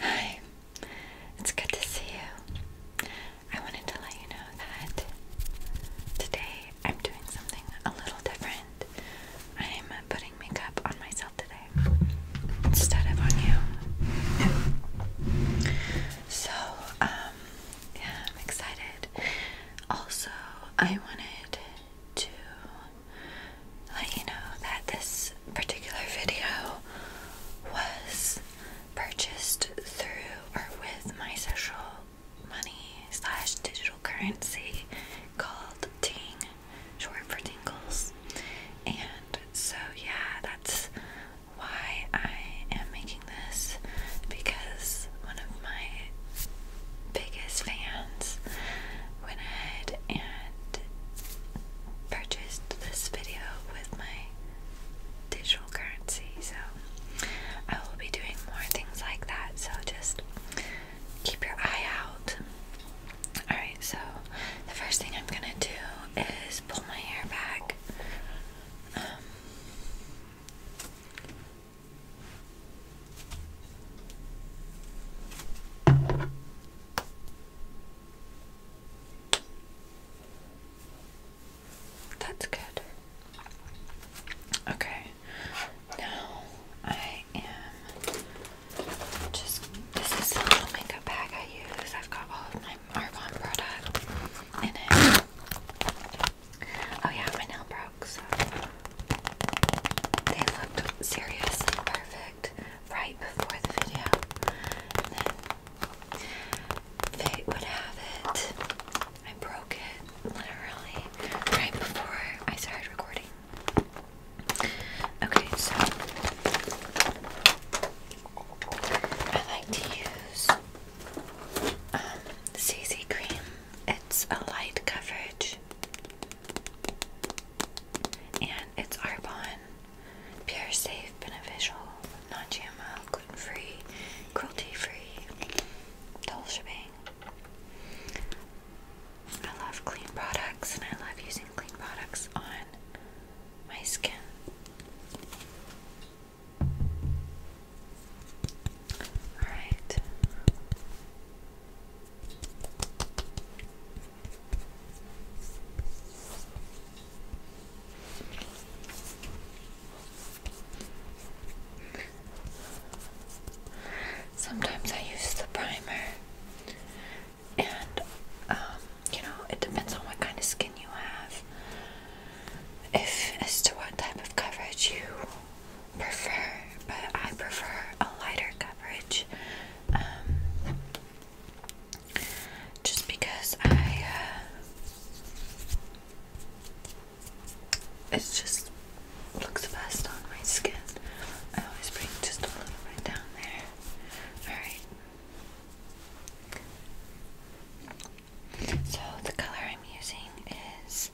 Hi, it's good to see you. I wanted to let you know that today I'm doing something a little different. I'm putting makeup on myself today instead of on you. So, um, yeah, I'm excited. Also, I wanted to let you know that this particular video was purchased through or with my social money slash digital currency called Ting, short for Tingles. And so, yeah, that's why I am making this because one of my biggest fans went ahead and purchased this video with my digital currency. So I will be doing more things like that. So just keep your eye out. Alright, so the first thing I'm gonna do is pull my hair back. Um, that's good. Okay. Now I am just this is the little makeup bag I use. I've got all of my Arbonne product in it. Oh yeah, my nail broke, so they looked seriously perfect right before the video. fate would have it. I broke it literally right before I started recording. Okay, so I like to use um, CC cream. It's a light coverage and it's Arbonne. Pure, safe, beneficial, non GMO, gluten free, cruelty free. The whole I love clean products and I love using clean products on my skin. Alright. Sometimes I use the primer, and um, you know, it depends on what kind of skin you have, if as to what type of coverage you prefer. But I prefer a lighter coverage. Um, just because I uh, it just looks best on my skin. I always bring just a little bit down there. All right. So the color I'm using is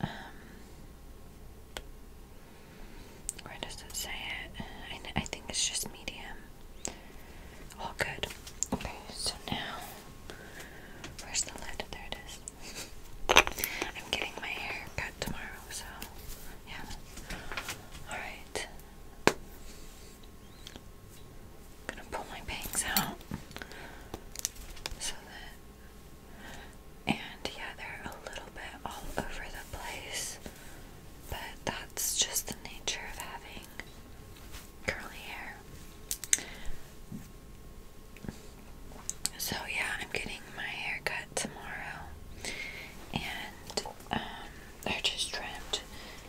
um, where does it say it? I, I think it's just medium. All oh, good. Okay, so now, where's the lid? There it is. I'm getting my hair cut tomorrow, so yeah. Alright. gonna pull my bangs out so that. And yeah, they're a little bit all over the place. But that's just the nature of having curly hair. So, yeah, I'm getting my hair cut tomorrow. And, um, they're just trimmed.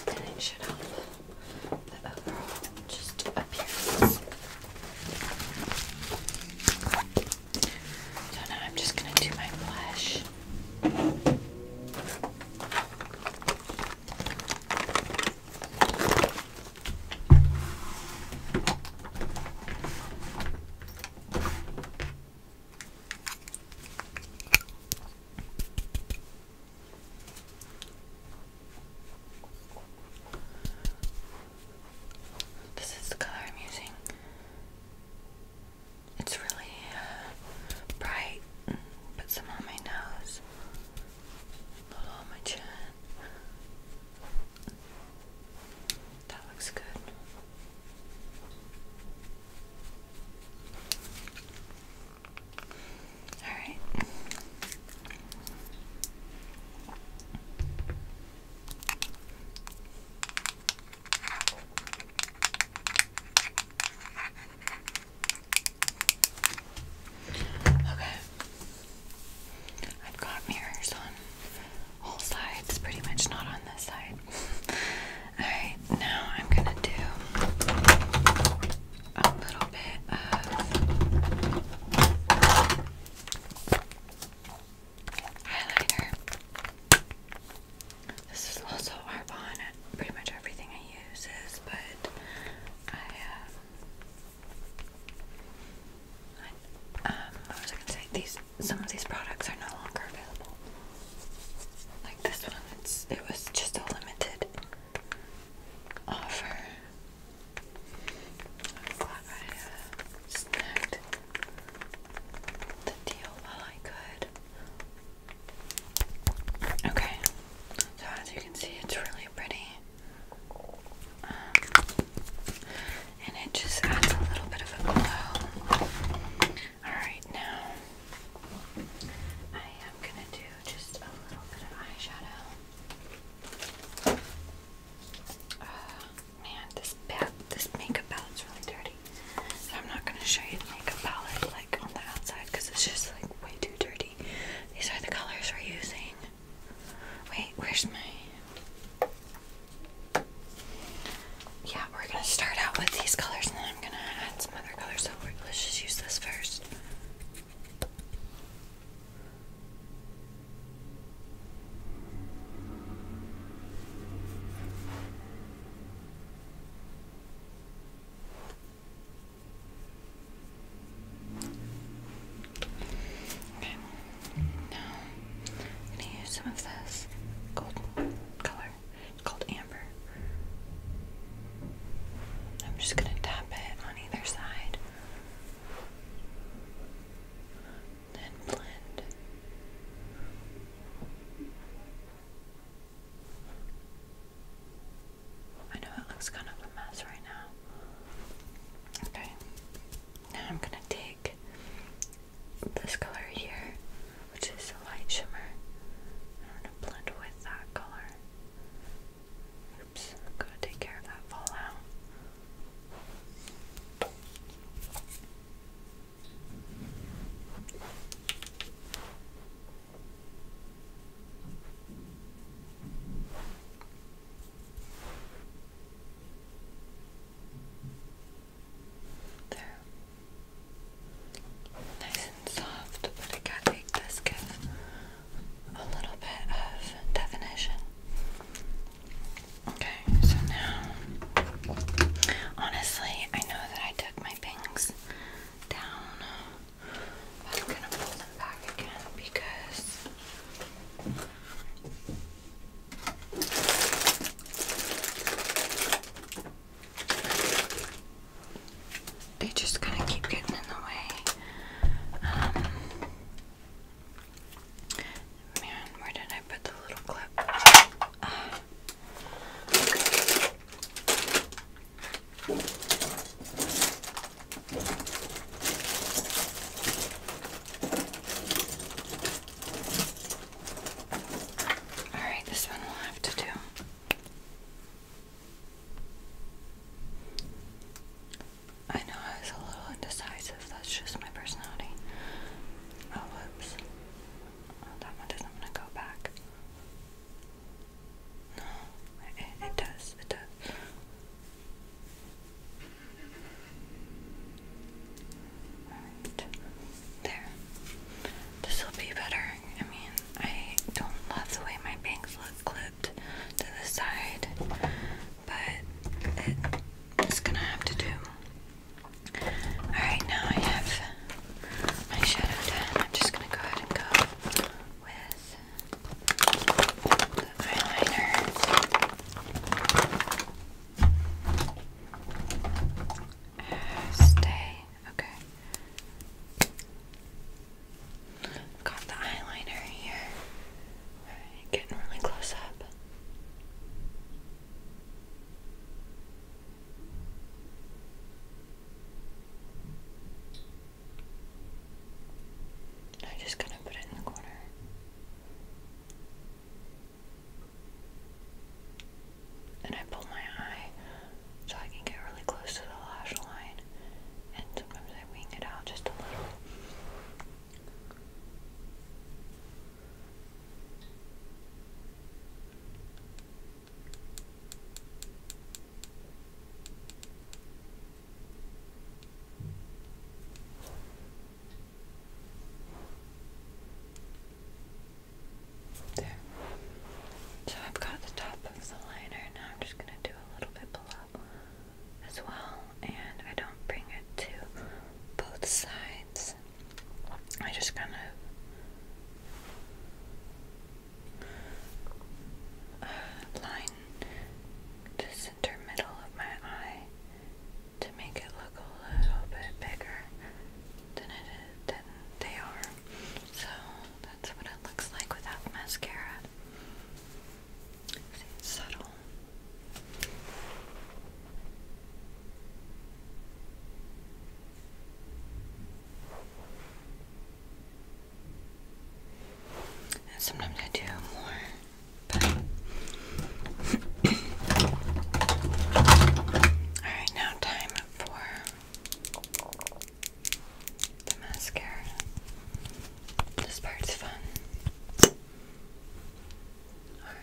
And it should help the overall just appearance. I'm just going to do my blush. This is the color I'm using. It's really uh, bright. Put some on my nose, a little on my chin. That looks good. All right. Okay. I've got mirrors on all sides, pretty much not on this side. Alright, now I'm gonna do a little bit of highlighter. This is also Arbonne. Pretty much everything I use is, but I, um, um, what was I gonna say? These, some of these products are no longer available. Like this one, it's, it was just a limited offer. I'm glad I uh, snagged the deal while I could. Okay, so as you can see, it's really pretty. Um, and it just adds a little bit of a glow. Alright, now I am gonna do just a little bit of eyeshadow. Oh, man, this this pad, this makeup palette's really dirty. I'm not gonna show you the makeup palette like on the outside because it's just like way too dirty. These are the colors we're using. Wait, where's my? Yeah, we're gonna start out with these colors and then I'm gonna add some other colors. So let's just use this first. Okay. Now I'm gonna use some of this golden color. It's called amber. I'm just gonna tap it on either side. Then blend. I know it looks kind of a mess right now. Okay, now I'm gonna take this color here, which is a light shimmer, I'm gonna blend with that color. Oops, i to take care of that fallout. There. Nice and soft, but I got make this give a little bit of definition. Okay. Okay, so now, honestly, I know that I took my bangs down, but I'm gonna pull them back again because they just kind of keep getting in the way. Um, man, where did I put the little clip? Ah. All right, this one will have to do. I know I was a little indecisive, that's just my personality. Oh, whoops. Oh, that one doesn't want to go back. No, it, does, it does. Alright, there. This will be better. I mean, I don't love the way my bangs look clipped to the side, but it's gonna have to do. Alright, now I have my shadow done. I'm just going to go ahead and go with the eyeliner. Uh, stay. Okay. got the eyeliner here. Alright, getting really close up. I'm just going to put it in the corner. And I pull my eye so I can get really close to the lash line. And sometimes I wing it out just a little. So I've got the top of the liner, now I'm just going to do a little bit below as well, and I don't bring it to both sides this. I just kind of uh, line the center middle of my eye to make it look a little bit bigger than it than they are. So that's what it looks like without mascara. See, subtle sometimes I do more, but alright, now time for the mascara. This part's fun. Alright.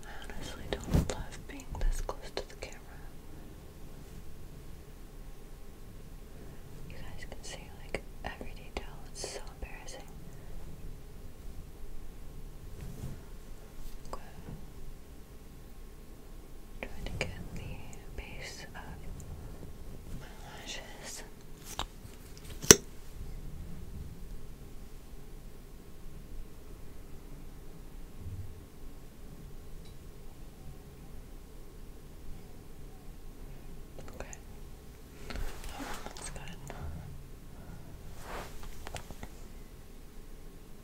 I honestly don't love being this close to the camera. You guys can see like every detail, it's so embarrassing. Trying to get the base of my lashes. Okay. Oh, that's good.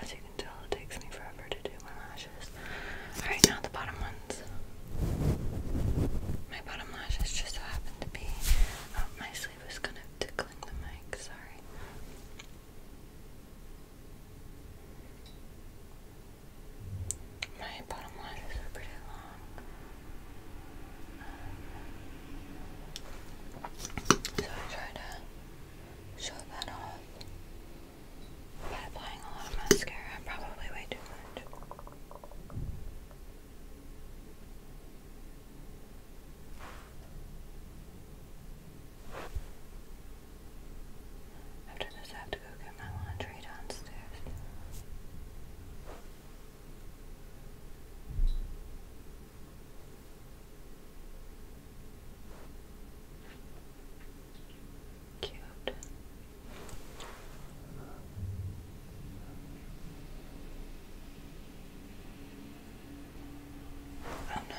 As you can tell, it takes me forever to do my lashes. Alright, now the bottom ones. My bottom lashes just happen to be. Um, my sleeve is kind of tickling the mic, sorry. My bottom lashes are pretty long. So I try to show that off by applying a lot of mascara, probably way too much. After this, I have to go get my laundry downstairs. Cute. Oh no.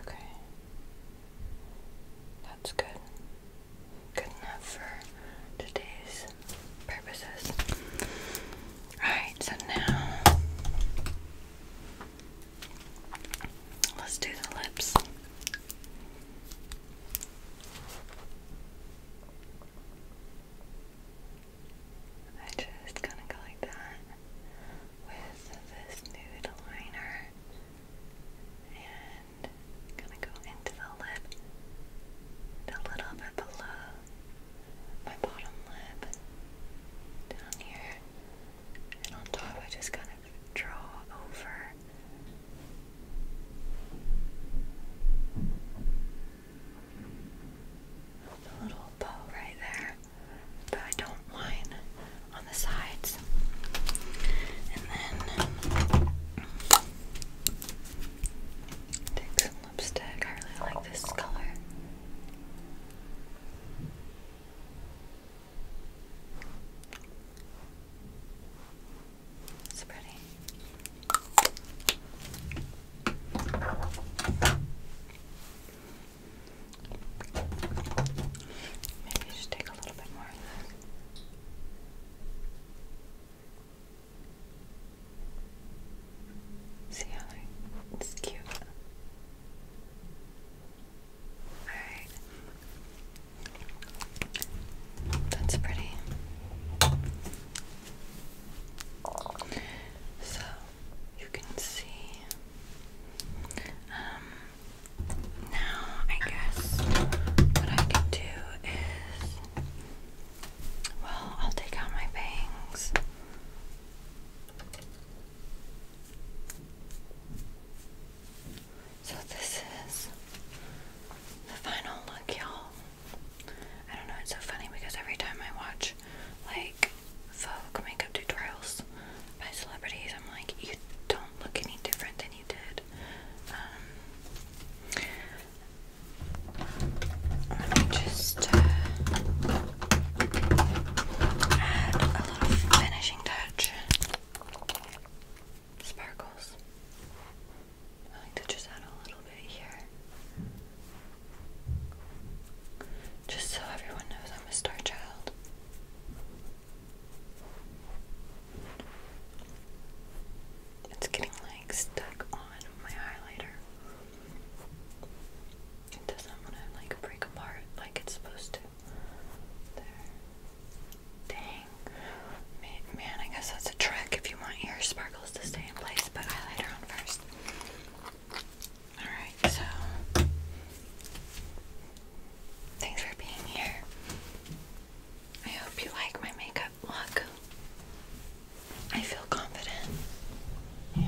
Okay. That's good. Good enough for today's purposes. Alright, so now let's do the lips. I just kind of go like that with this nude liner and kind of go into the lip a little bit below my bottom lip down here and on top I just kind of draw over a little bow right there, but I don't line on the sides. And then take lipstick. I really like this color. It's pretty. Maybe you take a little bit more See how it's cute. Alright. That's pretty. So you can see. Um, now I guess what I can do is, well, I'll take out my bangs. So this is the final look, y'all. I don't know, it's so funny because every time I watch like folk makeup tutorials by celebrities, I'm like, you don't look any different than you did. Um, let me just uh, add a little finishing touch sparkles. I like to just add a little bit here. Just so everyone knows I'm a star child. It's getting like stuck on my highlighter. It doesn't want to like break apart like it's supposed to. There. Dang. Man, I guess that's a trick if you want your sparkles to stay in place, but highlighter on first. Alright, so. Thanks for being here. I hope you like my makeup look. I feel confident and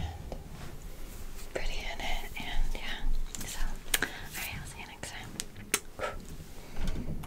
pretty in it, and yeah. So, alright, I'll see you next time.